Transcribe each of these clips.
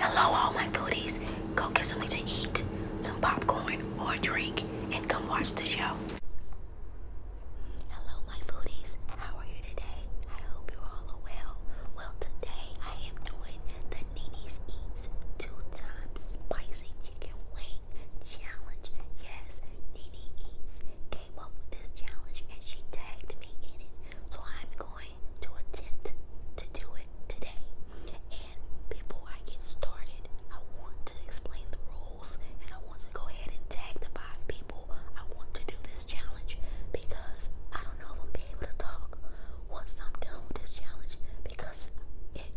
Hello, all my foodies. Go get something to eat, some popcorn or a drink, and come watch the show. Hello, my foodies. How are you today? I hope you're all well. Well, today I am doing the the Nini's Eats 2 times spicy chicken wing challenge. Yes, Nini Eats came up with this challenge and she tagged me in it. So I'm going to attempt to do it today. And before I get started, I want to explain the rules and I want to go ahead and tag the five people I want to do this challenge because I don't know if I'm be able to talk once I'm done with this challenge because it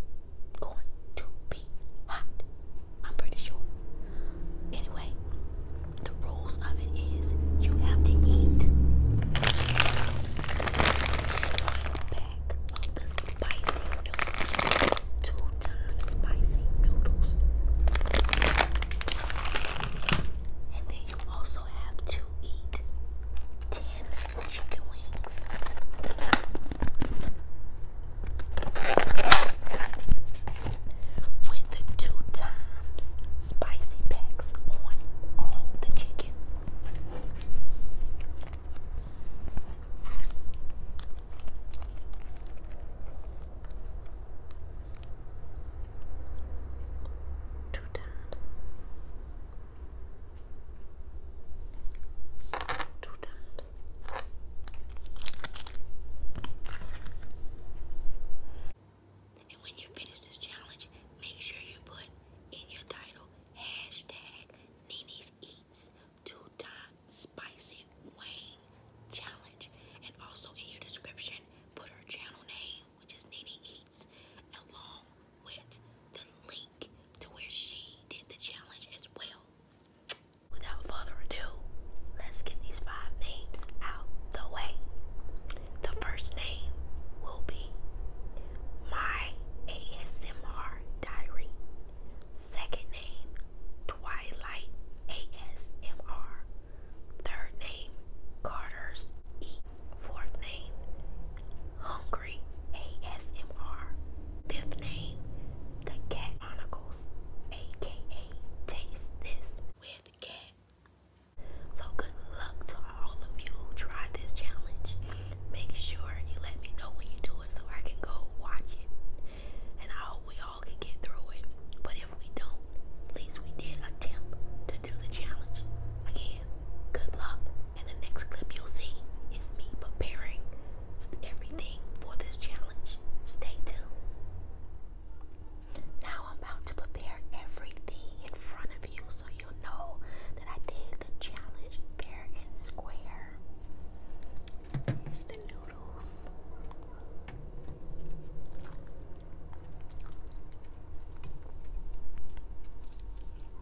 going to be hot. I'm pretty sure. Anyway, the rules of it is you have to eat pack of the spicy noodles. Two times spicy noodles. And then you also also have to eat 10 chicken wings. With the two times spicy packs on all the chicken. Two times. Two times. And when you finish this challenge, make sure you put in your title hashtag Nini's Eats Two Time Spicy Wayne Challenge. And also in your description, put her channel name which is Nene Eats, along with the link to where she did the challenge as well. Without further ado, let's get these five names out the way. The first name will be My ASMR Diary. Second name, Twilight ASMR. Third name, Carter's Eat Fourth name, Hungry ASMR. Fifth name, The Cat Chronicles, aka Taste This with Cat. So good luck to all of you who tried this challenge. Make sure you let me know when you do it so I can go watch it. And I hope we all can get through it. But if we don't, at least we did attempt to do the challenge. Again, good luck. And the next clip you'll see is me preparing everything for this challenge. Stay tuned. Now I'm about to prepare everything in front of you so you'll know that I did the challenge fair and square. Here's the noodles.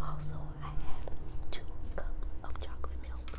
Also, I have two cups of chocolate milk.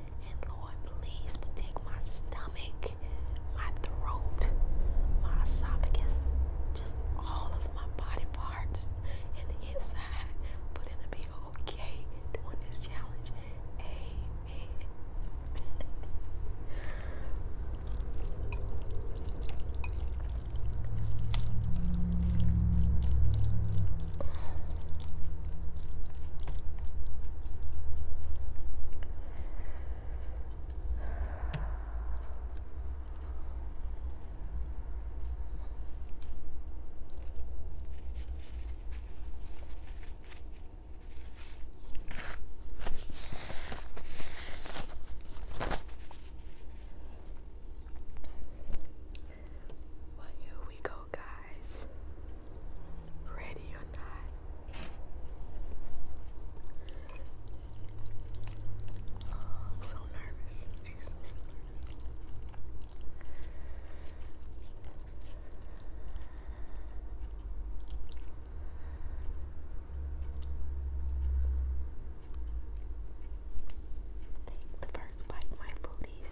And Lord, please protect my stomach, my throat, my esophagus, just all of my body parts and the inside for them to be okay doing this challenge. Amen. Well, here we go, guys ready or not. I'm so nervous. Jeez, Take the first bite, my foodies.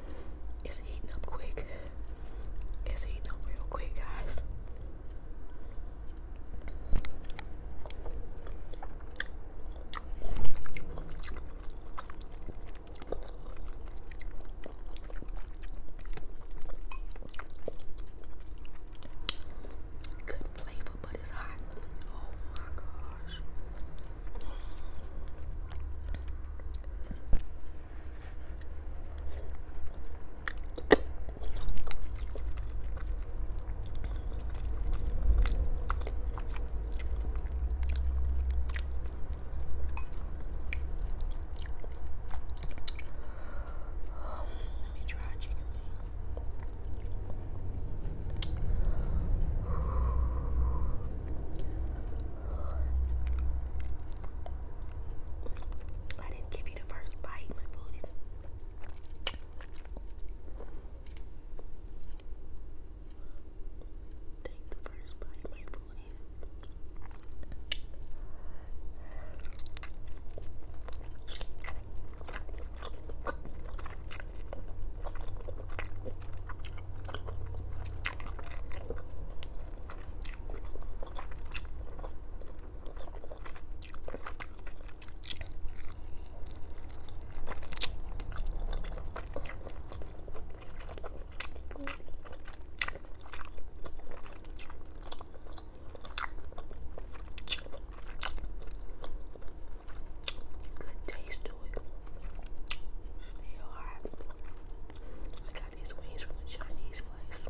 It's heating up quick. It's heating up real quick, guys. Good flavor, but it's hot. Oh my gosh. Let me try chicken wing. I didn't give you the first bite. My food is. Take the first bite. My food is. Good taste to it. Still hot these wings from the Chinese place.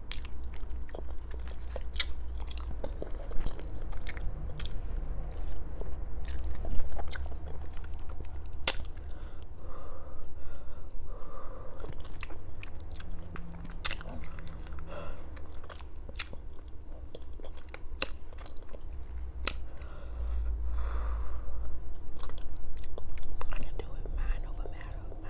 I can do it mind over matter, mind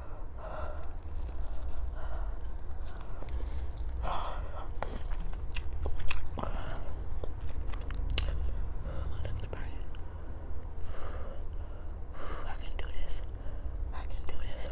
I can do this. I can do this.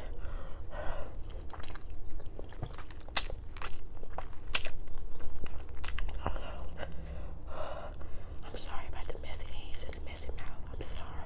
I'm sorry about the messy hands and the messy mouth. I'm sorry.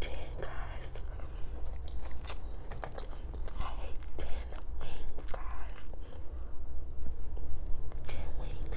Ten guys. I hate ten wings, guys. Ten wings.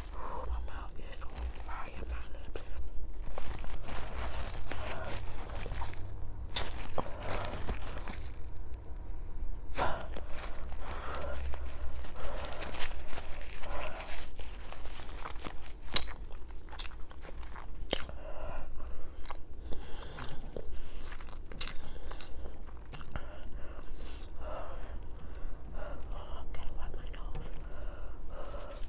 Oh, my mouth is on fire, my lips. Okay, wipe my nose.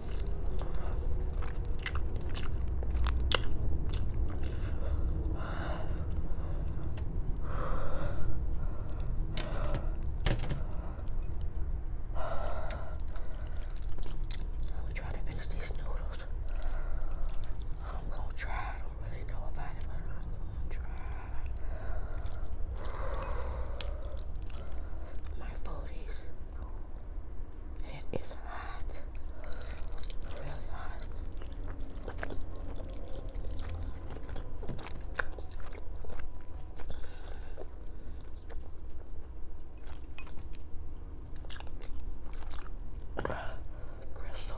I'm trying to finish these noodles. I'm gonna try. I don't really know about it, but I'm gonna try. My 40s. It is hot, really hot. Crystal.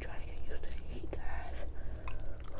Trying to get used to heat, guys.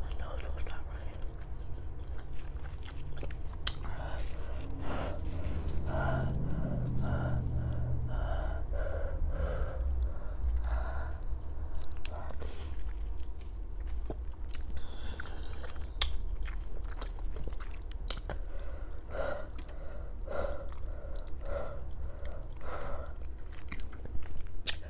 My nose will stop running.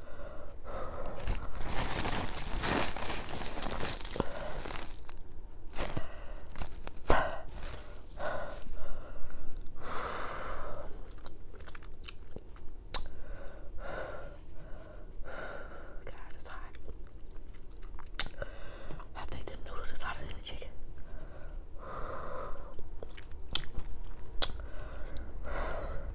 God, it's hot. I think the noodles is hotter than the chicken.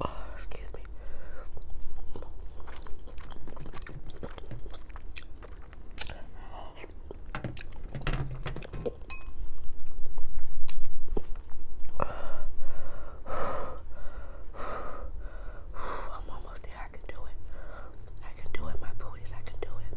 Oh, excuse me. I'm almost there. I can do it. I can do it, my booties. I can do it.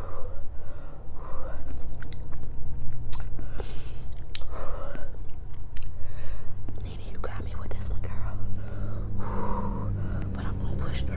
Nene, you got me with this one, girl. But I'm gonna push through.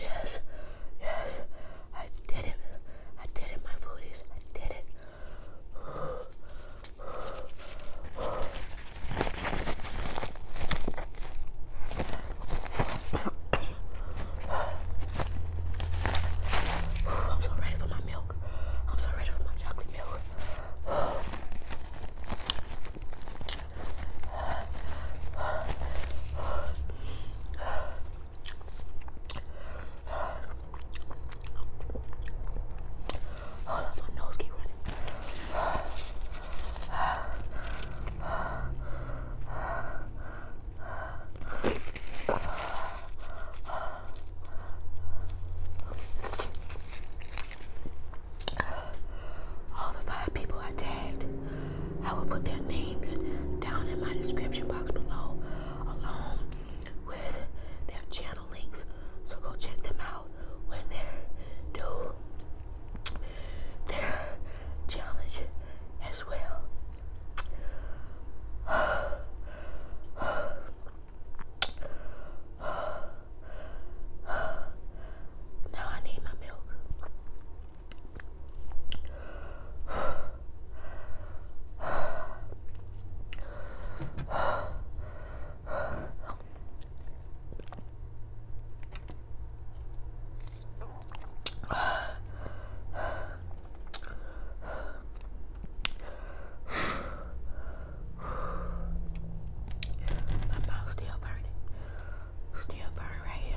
Yes, yes, I did it. I did it, my foodies. I did it. I'm so ready for my milk. I'm so ready for my chocolate milk. Hold on, my nose keep running. All the five people I tagged, I will put their names down in my description box below, along with their channel links. So go check them out when they're their challenge as well. Now I need my milk. My mouth's still burning. Still burning right here.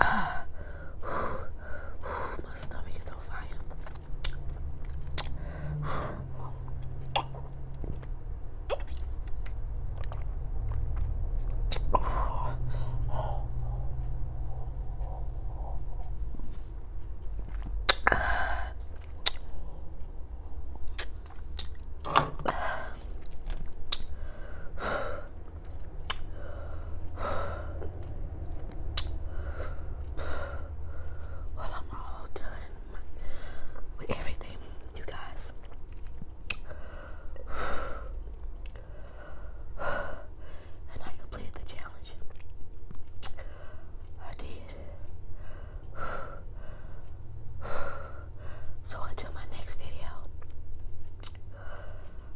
Ah, my stomach is on fire. Well, I'm all done with everything, you guys. And I completed the challenge. I did. So until my next video,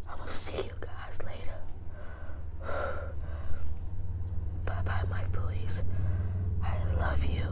I will see you guys later. bye bye, my foodies. I love you.